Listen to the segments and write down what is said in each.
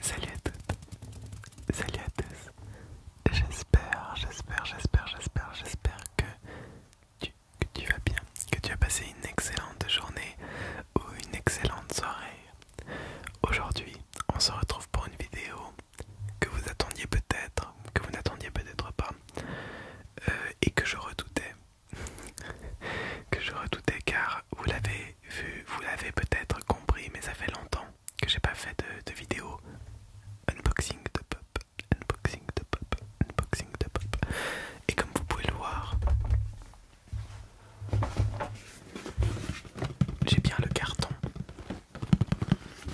Salut à toutes, salut à tous. J'espère, j'espère, j'espère, j'espère, j'espère que tu, vas bien, que tu as passé une excellente journée ou une excellente soirée. Aujourd'hui, on se retrouve pour une vidéo que vous attendiez peut-être, que vous n'attendiez peut-être pas, euh, et que je redoutais, que je redoutais car vous l'avez vous l'avez peut-être compris, mais ça fait longtemps que j'ai pas fait de, vidéo unboxing de pop, unboxing de pop, unboxing de pop. Et comme vous pouvez le voir, j'ai bien le carton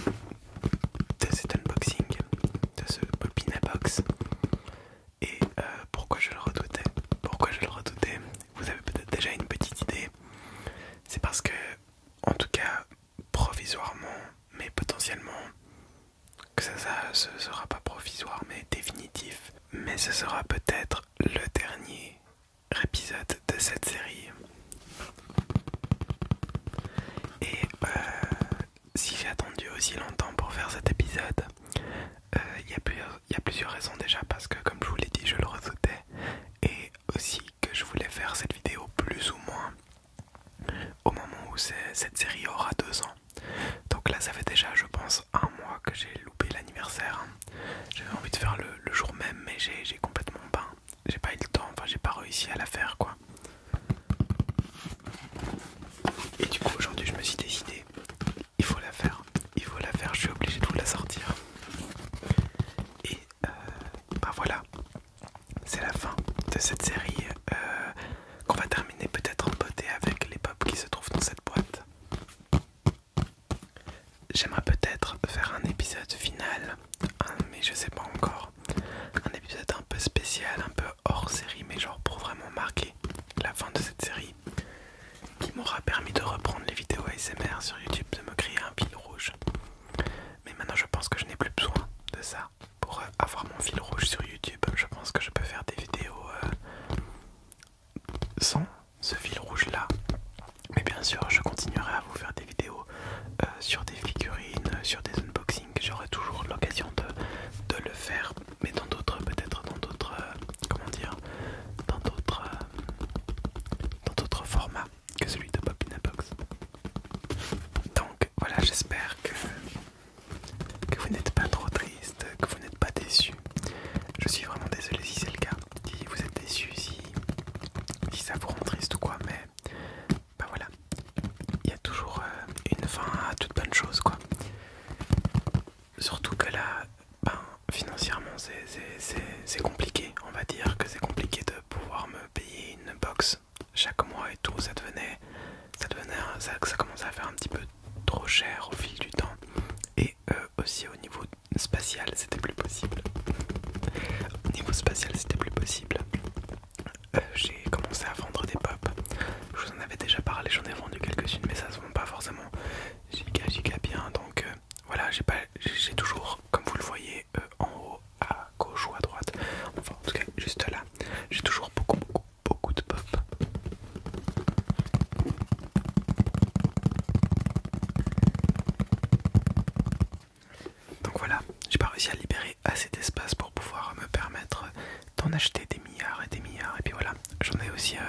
de cet unboxing, de ce Popina Box. Et euh, pourquoi je le redoutais Pourquoi je le redoutais Vous avez peut-être déjà une petite idée. C'est parce que, en tout cas, provisoirement, mais potentiellement, que ça, ça sera pas provisoire, mais définitif. Mais ce sera peut-être le dernier épisode de cette série. Et euh, si j'ai attendu aussi longtemps pour faire cet épisode, euh, il y a plusieurs il y a plusieurs raisons déjà parce que comme je vous l'ai dit je le redoutais et aussi que je voulais faire cette vidéo plus ou moins au moment où cette série aura deux ans. Donc là ça fait déjà je pense un mois que j'ai loupé l'anniversaire. J'avais envie de faire le, jour même mais j'ai complètement pas. J'ai pas eu le temps, enfin j'ai pas réussi à la faire quoi. Et du coup aujourd'hui je me suis décidé il faut la faire, il faut la faire, je suis obligé de vous la sortir. Et bah voilà, c'est la fin de cette série euh, qu'on va terminer peut-être en beauté avec les pop qui se trouvent dans cette boîte. J'aimerais peut-être faire un épisode final, hein, mais je sais pas encore. Un épisode un peu spécial, un peu hors série, mais genre pour vraiment marquer la fin de cette série qui m'aura permis de reprendre les vidéos ASMR sur YouTube, de me créer un fil rouge. Mais maintenant je pense que je n'ai plus besoin de ça pour euh, avoir mon fil rouge sur YouTube. Je pense que je peux faire des vidéos euh, sans ce fil rouge là. Mais bien sûr je continuerai à vous faire des vidéos euh, sur des figurines, sur des unboxings. J'aurai toujours l'occasion de, de le faire mais dans d'autres peut-être dans d'autres euh, comment dire dans d'autres euh, dans d'autres formats que celui de Box Donc voilà, j'espère que, que vous n'êtes pas trop triste, que vous n'êtes pas déçu. Je suis vraiment désolé si c'est le cas, si vous êtes déçu, si, ça vous rend triste ou quoi, mais bah voilà, il y a toujours euh, une fin à toute bonne chose quoi surtout que là, ben, financièrement, c'est compliqué. On va dire que c'est compliqué de pouvoir me payer une box chaque mois et tout. Ça devenait, ça devenait, ça, ça commençait à faire un petit peu trop cher au fil du temps. Et euh, aussi au niveau spatial, c'était plus possible. au niveau spatial, c'était plus possible. Euh, j'ai commencé à vendre des pop. Je vous en avais déjà parlé, j'en ai vendu quelques-unes, mais ça se vend pas forcément j'ai giga bien donc euh, voilà j'ai pas j'ai toujours comme vous le voyez euh, en haut à gauche ou à droite enfin en tout cas juste là j'ai toujours beaucoup beaucoup beaucoup de pop donc voilà j'ai pas réussi à libérer assez d'espace pour pouvoir me permettre d'en acheter des milliards et des milliards et puis voilà j'en ai aussi euh,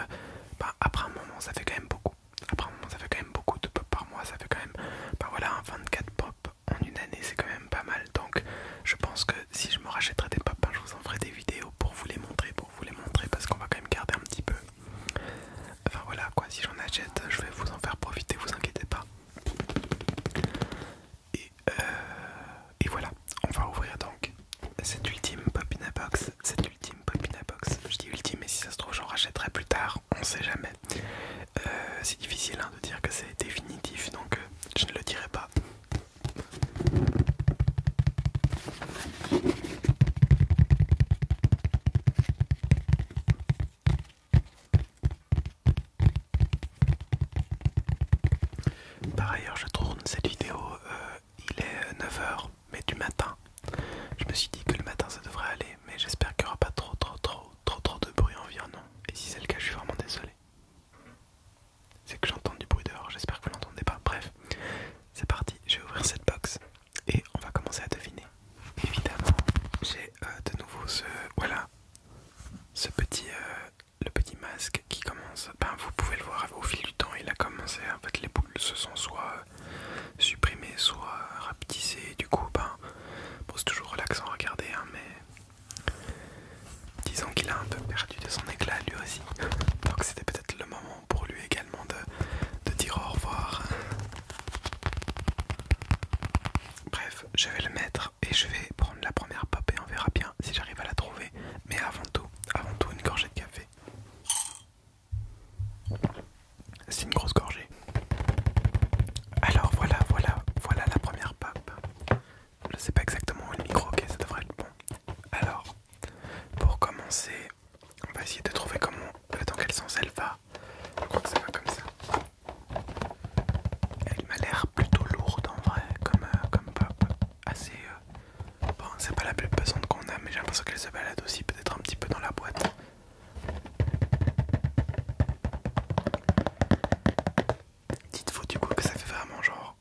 bah, après un moment ça fait quand même beaucoup. Après un moment ça fait quand même beaucoup de pop par mois, ça fait quand même bah voilà 24 pop en une année c'est quand même pas mal donc je pense que si je me rachèterais des pop hein, je vous en ferai des vidéos pour vous les montrer pour vous les montrer parce qu'on va quand même garder un petit peu enfin voilà quoi si j'en achète je vais vous en faire profiter vous inquiétez pas et, euh, et voilà on va ouvrir donc cette ultime Popina Box. Cette ultime Popina Box. Je dis ultime, mais si ça se trouve, j'en rachèterai plus tard. On sait jamais. Euh, c'est difficile hein, de dire que c'est définitif, donc euh, je ne le dirai pas. Par ailleurs, je tourne cette vidéo, euh, il est 9h mais du matin. Je me suis dit que le matin ça devrait aller, mais j'espère qu'il n'y aura pas trop trop trop trop trop de bruit environnant. Et si c'est le cas, je suis vraiment désolé. C'est que j'entends du bruit dehors, j'espère que vous l'entendez pas. Bref, c'est parti, je vais ouvrir cette box et on va commencer à deviner. Évidemment, j'ai euh, de nouveau ce... Voilà, ce petit... Euh, le petit masque qui commence... Ben, vous pouvez le voir au fil du temps, il a commencé, à mettre les se sont soit supprimés, soit et Du coup, ben, c'est toujours relaxant à regarder, hein, mais disons qu'il a un peu perdu de son éclat lui aussi. Donc c'était peut-être le moment pour lui également de, de dire au revoir. Bref, je vais le mettre et je vais prendre la première pop et on verra bien si j'arrive à la trouver. Mais avant tout, avant tout une gorgée de café. C'est une grosse gorgée. Alors voilà, voilà, voilà la première pop. Je sais pas exactement où est le micro, ok, ça devrait être bon. Alors, pour commencer, on va essayer de trouver comment, euh, dans quel sens elle va. Je crois que ça va comme ça. Elle m'a l'air plutôt lourde en vrai, comme, euh, comme pop. Assez bon c'est pas la plus pesante qu'on a mais j'ai l'impression qu'elle se balade aussi peut-être un petit peu dans la boîte Dites-vous du coup que ça fait vraiment genre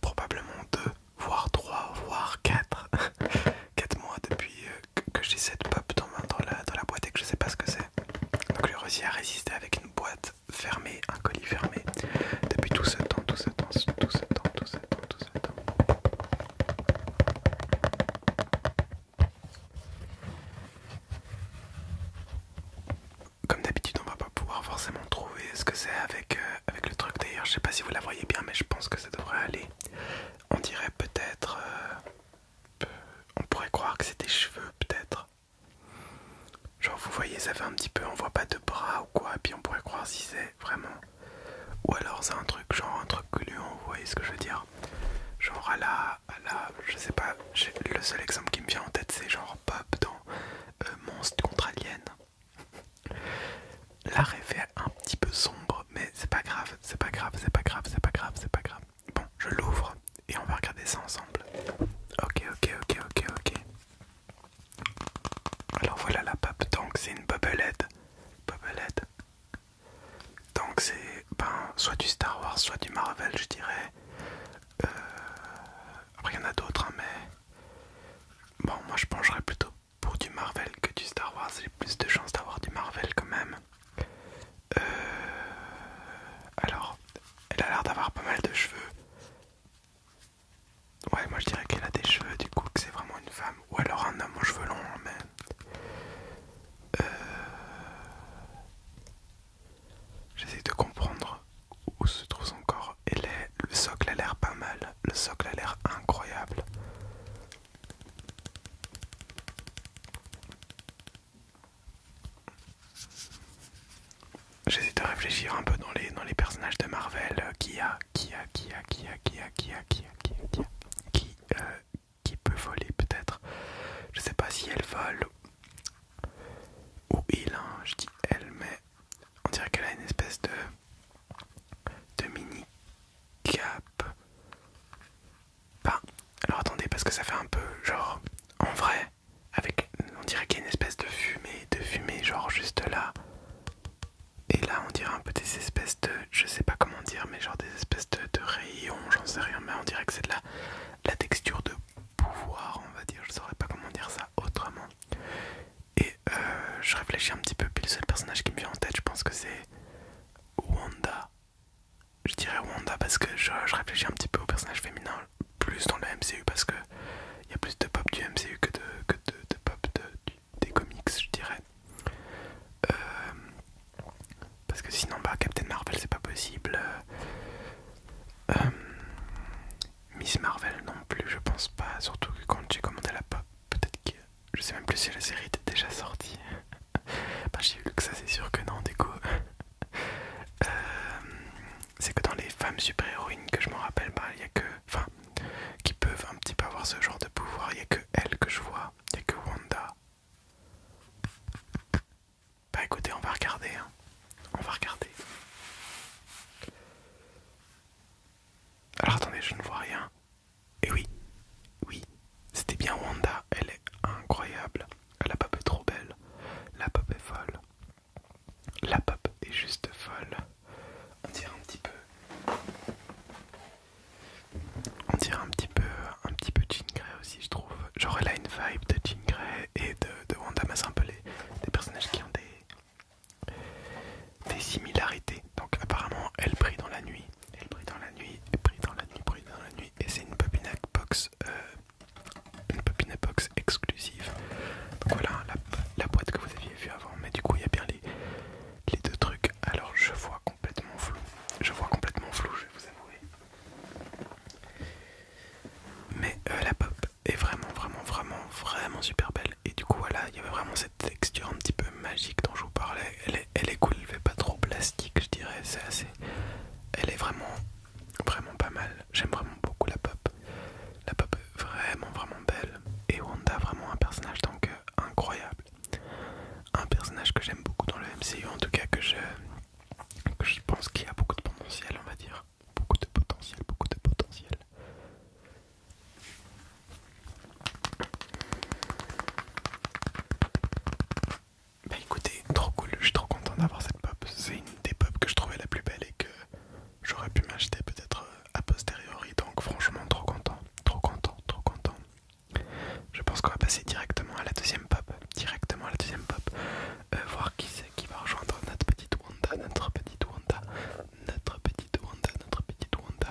probablement 2 voire 3 voire 4 4 mois depuis euh, que j'ai cette pop dans, ma la, dans la boîte et que je sais pas ce que c'est donc le rosier a résisté avec une boîte fermée, un colis fermé depuis tout ce temps, tout ce temps, tout ce temps, tout ce temps, comme d'habitude, on va pas pouvoir forcément trouver ce que c'est avec, euh, avec le truc d'ailleurs. Je sais pas si vous la voyez bien, mais je pense que ça devrait aller. On dirait peut-être. Euh, on pourrait croire que c'est des cheveux, peut-être. Genre, vous voyez, ça fait un petit peu, on voit pas de bras ou quoi, puis on pourrait croire si c'est vraiment ou alors c'est un truc genre un truc gluant, vous voyez ce que je veux dire Genre à la, à la, je sais pas, le seul exemple qui me vient en tête c'est genre Bob dans euh, Monstre contre Alien. La rêve fait un petit peu sombre, mais c'est pas grave, c'est pas grave, c'est pas grave, c'est pas grave, c'est pas grave. Bon, je l'ouvre et on va regarder ça ensemble. Ok, ok, ok, ok, ok. Alors voilà la pape, donc c'est une bubblehead. Bubblehead. Donc c'est ben, soit du Star Wars, soit du Marvel, je dirais. Euh, après il y en a d'autres, hein, mais bon, moi je pencherais plutôt pour du Marvel que du Star Wars. J'ai plus de chances d'avoir du Marvel quand même. Euh, alors, elle a l'air d'avoir pas mal de cheveux. Ouais, moi je dirais qu'elle a des cheveux, du coup, que c'est vraiment une femme. Ou alors un homme aux cheveux longs, hein, mais. Euh, j'essaie de comprendre où se trouve son corps. Et le socle a l'air pas mal. Le socle a l'air incroyable. J'essaie de réfléchir un peu dans les, dans les personnages de Marvel euh, qui a, qui qui qui qui qui qui qui qui qui peut voler peut-être je sais pas si elle vole ou il hein, je dis elle mais on dirait qu'elle a une espèce de de mini cap alors attendez parce que ça fait un peu genre en vrai avec on dirait qu'il y a une espèce de fumée de fumée genre juste là et là, on dirait un peu des espèces de. Je sais pas comment dire, mais genre des espèces de, rayons, j'en sais rien, mais on dirait que c'est de la, la texture de pouvoir, on va dire. Je saurais pas comment dire ça autrement. Et euh, je réfléchis un petit peu, puis le seul personnage qui me vient en tête, je pense que c'est Wanda. Je dirais Wanda parce que je, je réfléchis un petit peu au personnage féminin, plus dans le MCU, parce que il y a plus de pop du MCU que de, pop des comics, je dirais. Euh, parce que sinon, bah, Captain Marvel, c'est pas possible. Euh, Miss Marvel non plus, je pense pas. Surtout que quand j'ai commandé la pop, peut-être que. Je sais même plus si la série était déjà sortie. bah, j'ai vu que ça, c'est sûr que non, du euh, c'est que dans les femmes super-héroïnes que je me rappelle, bah, il y a que enfin, qui peuvent un petit peu avoir ce genre de pouvoir. Il n'y a que elle que je vois, il n'y a que Wanda. Bah écoutez, on va regarder, hein. on va regarder. Alors attendez, je ne vois rien. Et eh oui, oui, c'était bien Wanda, elle est incroyable. La pop est trop belle, la pop est folle. La pop est juste folle. On dirait un petit peu. On dirait un petit peu un petit peu Jean aussi je trouve. Genre là une vibe de Jean et de, Wanda, des personnages qui ont des, des similarités. Donc apparemment elle brille dans la nuit. Elle brille dans la nuit, elle brille dans la nuit, brille dans la nuit. Et c'est une popinette Box euh, une Box exclusive. Donc voilà la, la boîte que vous aviez vu avant, mais du coup il y a bien les, les deux trucs. Alors je vois complètement flou. Je vois complètement flou, je vais vous avouer. Mais euh, la pop est vraiment, vraiment, vraiment, vraiment super belle. Et du coup voilà, il y avait vraiment cette texture un petit peu magique dont je vous parlais. Elle elle est cool, elle fait pas trop plastique, je dirais. C'est assez. Elle est vraiment, vraiment pas mal. J'aime vraiment beaucoup la pop. La pop est vraiment vraiment belle et Wanda vraiment un personnage donc euh, incroyable. Un personnage que j'aime beaucoup dans le MCU en tout cas que je, que je pense qu'il a beaucoup de potentiel on va dire. Beaucoup de potentiel, beaucoup de potentiel. Bah écoutez, trop cool, je suis trop content d'avoir cette pop. C'est une des pop que je trouvais la plus belle et que j'aurais pu m'acheter peut-être euh, a posteriori, donc franchement trop content, trop content, trop content. Je pense qu'on va passer directement à la deuxième pop, directement à la deuxième pop, euh, voir qui c'est qui va rejoindre notre petite Wanda, notre petite Wanda, notre petite Wanda, notre petite Wanda.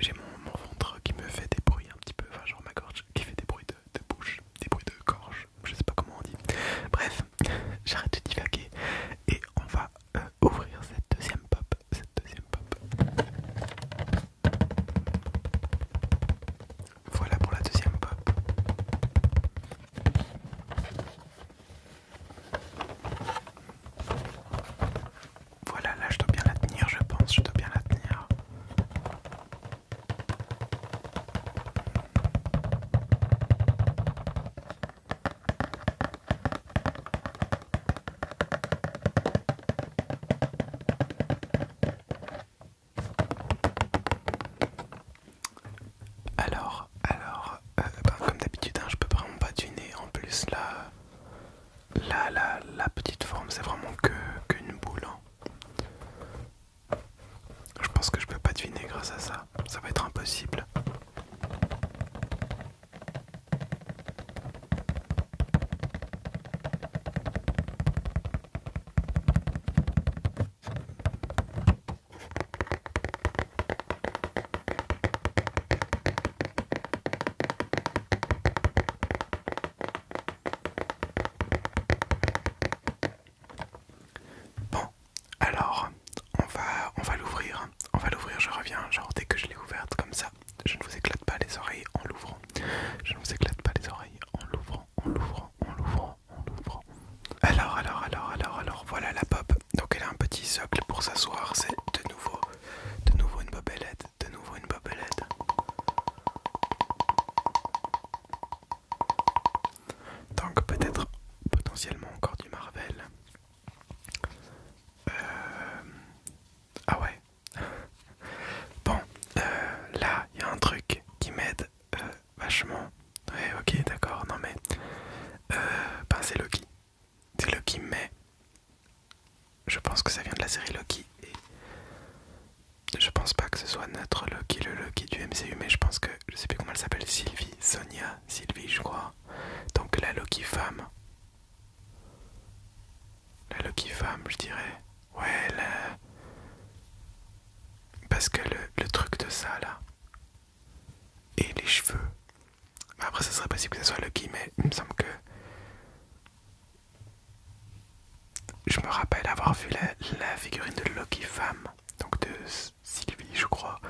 J'ai mon, ventre qui me fait des bruits un petit peu, enfin genre ma gorge qui fait des bruits de bouche, des bruits de gorge, je sais pas comment on dit. Bref, j'arrête de divaguer et on va euh, ouvrir cette deuxième pop. Cette deuxième pop. Voilà pour la deuxième pop. Voilà, là je dois bien la tenir, je pense, je dois bien la tenir. Alors, alors, euh, bah, comme d'habitude, je hein, je peux vraiment pas deviner, En plus, là, la petite forme, c'est vraiment que qu'une boule. Hein. Je pense que je peux pas deviner grâce à ça ça. va être impossible. Bon, alors, on va, on va l'ouvrir. On va l'ouvrir, je reviens. Genre, dès que je l'ai ouverte comme ça, je ne vous éclate pas les oreilles en l'ouvrant. Je ne vous éclate pas les oreilles en l'ouvrant, en l'ouvrant, en l'ouvrant, en l'ouvrant. Alors, alors, alors, alors, alors, voilà la Bob, Donc, elle a un petit socle pour s'asseoir. C'est de nouveau, de nouveau une bobelette, de nouveau une bobelette. Donc peut-être potentiellement encore du Marvel. Euh... Ah ouais. bon, euh, là, il y a un truc qui m'aide euh, vachement. Ouais, ok, d'accord, non mais... Euh, ben c'est Loki. C'est Loki, mais... Je pense que ça vient de la série Loki. Et... Je pense pas que ce soit notre Loki, le Loki du MCU, mais je pense que, je sais plus comment elle s'appelle, Sylvie, Sonia, Sylvie, je crois, donc la Loki femme. La Loki femme, je dirais. Ouais, la... Parce que le, truc de ça, là. Et les cheveux. Après, ça serait possible que ça soit Loki, mais il me semble que... Je me rappelle avoir vu la, figurine de Loki femme, donc de Sylvie, je crois,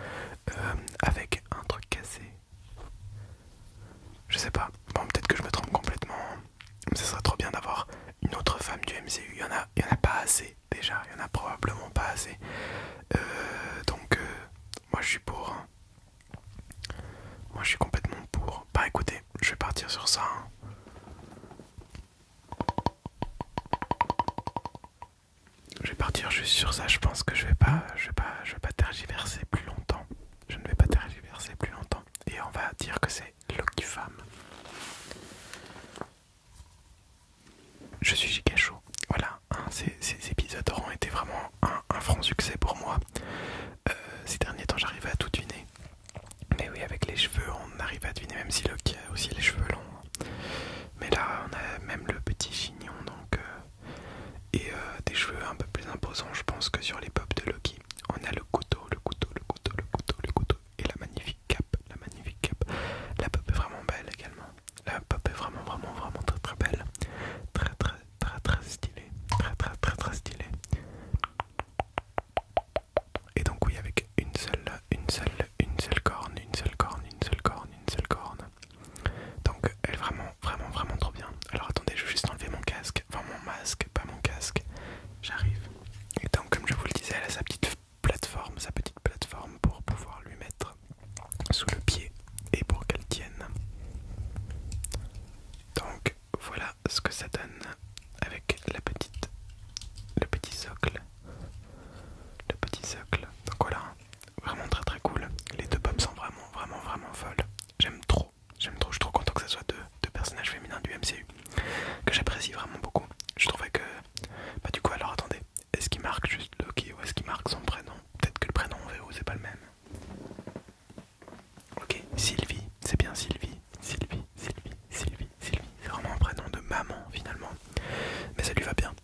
euh, avec un truc cassé. Je sais pas. Bon, peut-être que je me trompe complètement. Hein. Mais ce serait trop bien d'avoir une autre femme du MCU. Il y en a, il y en a pas assez déjà. Il y en a probablement pas assez. Euh, donc, euh, moi, je suis pour. Hein. Moi, je suis complètement pour. Bah, écoutez, je vais partir sur ça. Hein. Je vais partir juste sur ça, je pense que je vais pas, je vais pas, je pas tergiverser plus longtemps. Je ne vais pas tergiverser plus longtemps. Et on va dire que c'est Loki Femme. Je suis giga Voilà, hein, ces, épisodes auront été vraiment un, franc succès pour moi. Euh, ces derniers temps, j'arrivais à tout deviner. Mais oui, avec les cheveux, on arrive à deviner, même si Loki a aussi les cheveux longs. Mais là, on a même le petit chignon, donc, euh, et euh, des cheveux un peu plus imposants, je pense, que sur les pop de Loki. On a le couteau, le couteau, le couteau, le couteau, le couteau, et la magnifique cape, la magnifique cape. La pop est vraiment belle également. La pop est vraiment, vraiment, vraiment très, très belle. Très, très, très, très stylée. Très, très, très, très stylée. Et donc oui avec une seule, une seule, une seule corne, une seule corne, une seule corne, une seule corne. Donc elle est vraiment vraiment vraiment trop bien. Alors attendez, je vais juste enlever mon casque, enfin mon masque, pas mon casque. J'arrive. Et donc comme je vous le disais, elle a sa petite plateforme, sa petite plateforme pour pouvoir lui mettre sous le pied et pour qu'elle tienne. Donc voilà ce que ça donne avec la petite le petit socle. Le petit socle. Donc voilà, Vraiment très très cool. Les deux pops sont vraiment vraiment vraiment folles. J'aime trop. J'aime trop. Je suis trop content que ce soit deux, deux personnages féminins du MCU. Que j'apprécie vraiment beaucoup. Je trouvais que... Bah du coup alors attendez. Est-ce qu'il marque juste Loki ou est-ce qu'il marque son prénom Peut-être que le prénom en VO c'est pas le même. Ok, Sylvie, c'est bien Sylvie, Sylvie, Sylvie, Sylvie, Sylvie. C'est vraiment un prénom de maman finalement. Mais ça lui va bien.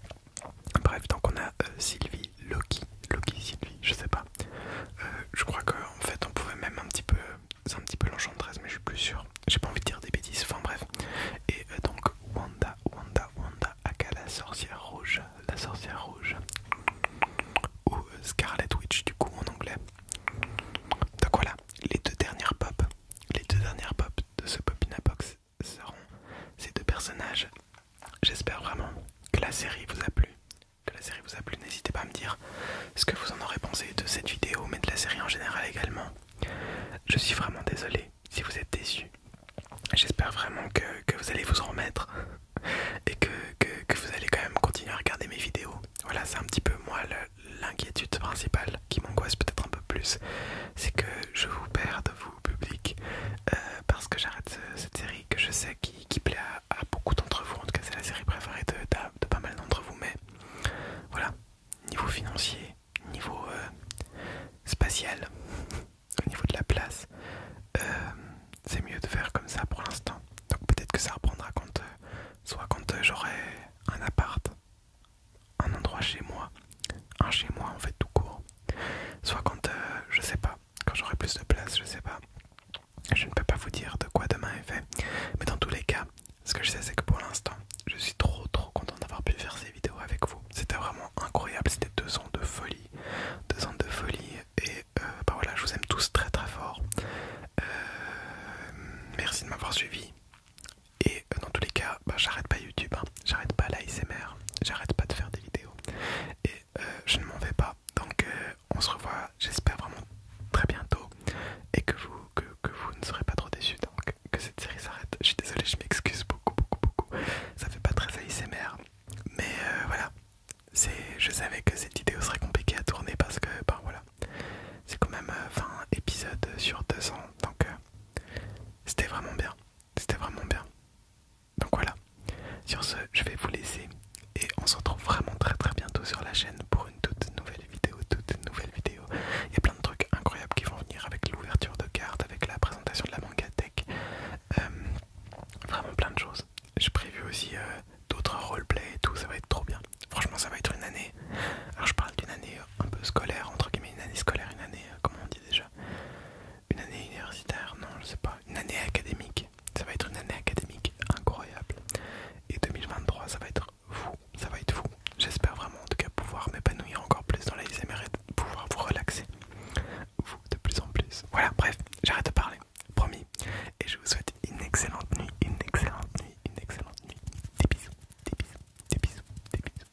Bref, donc on a euh, Sylvie, Loki, Loki, Sylvie, je sais pas. Euh, je crois qu'en fait on pouvait même un petit peu, c'est un petit peu mais je suis plus sûr. J'ai pas envie de dire des bêtises, enfin bref. Et euh, donc Wanda, Wanda, Wanda, aka la sorcière rouge, la sorcière rouge. Ou Scarlet Witch du coup en anglais. Donc voilà, les deux dernières pop, les deux dernières pop de ce Popina Box, seront ces deux personnages. J'espère vraiment que la série vous a plu. Que la série vous a plu, n'hésitez pas à me dire ce que vous en aurez pensé de cette vidéo, mais de la série en général également. Je suis vraiment désolé si vous êtes déçu. J'espère vraiment que, vous allez vous remettre et que, que, que vous allez quand même continuer à regarder mes vidéos. Voilà, c'est un petit peu moi l'inquiétude principale qui m'angoisse peut-être un peu plus. C'est que je vous perds de vous public euh, parce que j'arrête cette série que je sais qui, plaît à, beaucoup d'entre vous. En tout cas, c'est la série préférée de, pas mal d'entre vous. Mais voilà, niveau financier, niveau euh, spatial, au niveau de la place, euh, c'est mieux de faire comme ça pour l'instant. Donc peut-être que ça reprendra quand, soit quand j'aurai un appart un endroit chez moi, un chez moi en fait tout court. Soit quand euh, je sais pas, quand j'aurai plus de place, je sais pas. Je ne peux pas vous dire de quoi demain est fait, mais dans tous les cas, ce que je sais c'est que pour l'instant, je suis trop trop content d'avoir pu faire ces vidéos avec vous. C'était vraiment incroyable, c'était deux ans de folie, deux ans de folie et euh, bah voilà, je vous aime tous très très fort. Euh, merci de m'avoir suivi. Et euh, dans tous les cas, bah, j'arrête pas YouTube, hein. j'arrête pas l'ASMR, j'arrête pas de faire des vidéos. Et euh, je ne m'en vais pas. Donc euh, on se revoit, j'espère vraiment très bientôt. Et que vous, que, vous ne serez pas trop déçus. Donc que cette série s'arrête. Je suis désolé, je m'excuse beaucoup, beaucoup, beaucoup. Ça fait pas très ASMR. Mais voilà, je savais que cette vidéo serait compliquée à tourner parce que, ben voilà, c'est quand même 20 épisodes sur 200. Donc c'était vraiment bien. C'était vraiment bien. Donc voilà. Sur ce, je vais vous laisser et on se retrouve vraiment très très bientôt sur la chaîne pour une toute nouvelle vidéo, toute nouvelle vidéo. Il y a plein de trucs incroyables qui vont venir avec l'ouverture de cartes, avec la présentation de la manga tech. Euh, vraiment plein de choses. J'ai prévu aussi euh, d'autres roleplay et tout, ça va être trop bien. Franchement, ça va être une année. Alors je parle d'une année un peu scolaire, entre guillemets, une année scolaire, une année, euh, comment on dit déjà une année universitaire, non, je sais pas. Une année académique. Ça va être une année académique incroyable. Et 2023, ça va être vous Ça va être fou. J'espère vraiment, en tout cas, pouvoir m'épanouir encore plus dans la vie et pouvoir vous relaxer. Vous, de plus en plus. Voilà, bref, j'arrête de parler. Promis. Et je vous souhaite une excellente nuit, une excellente nuit, une excellente nuit. Des bisous, des bisous, des bisous, des bisous.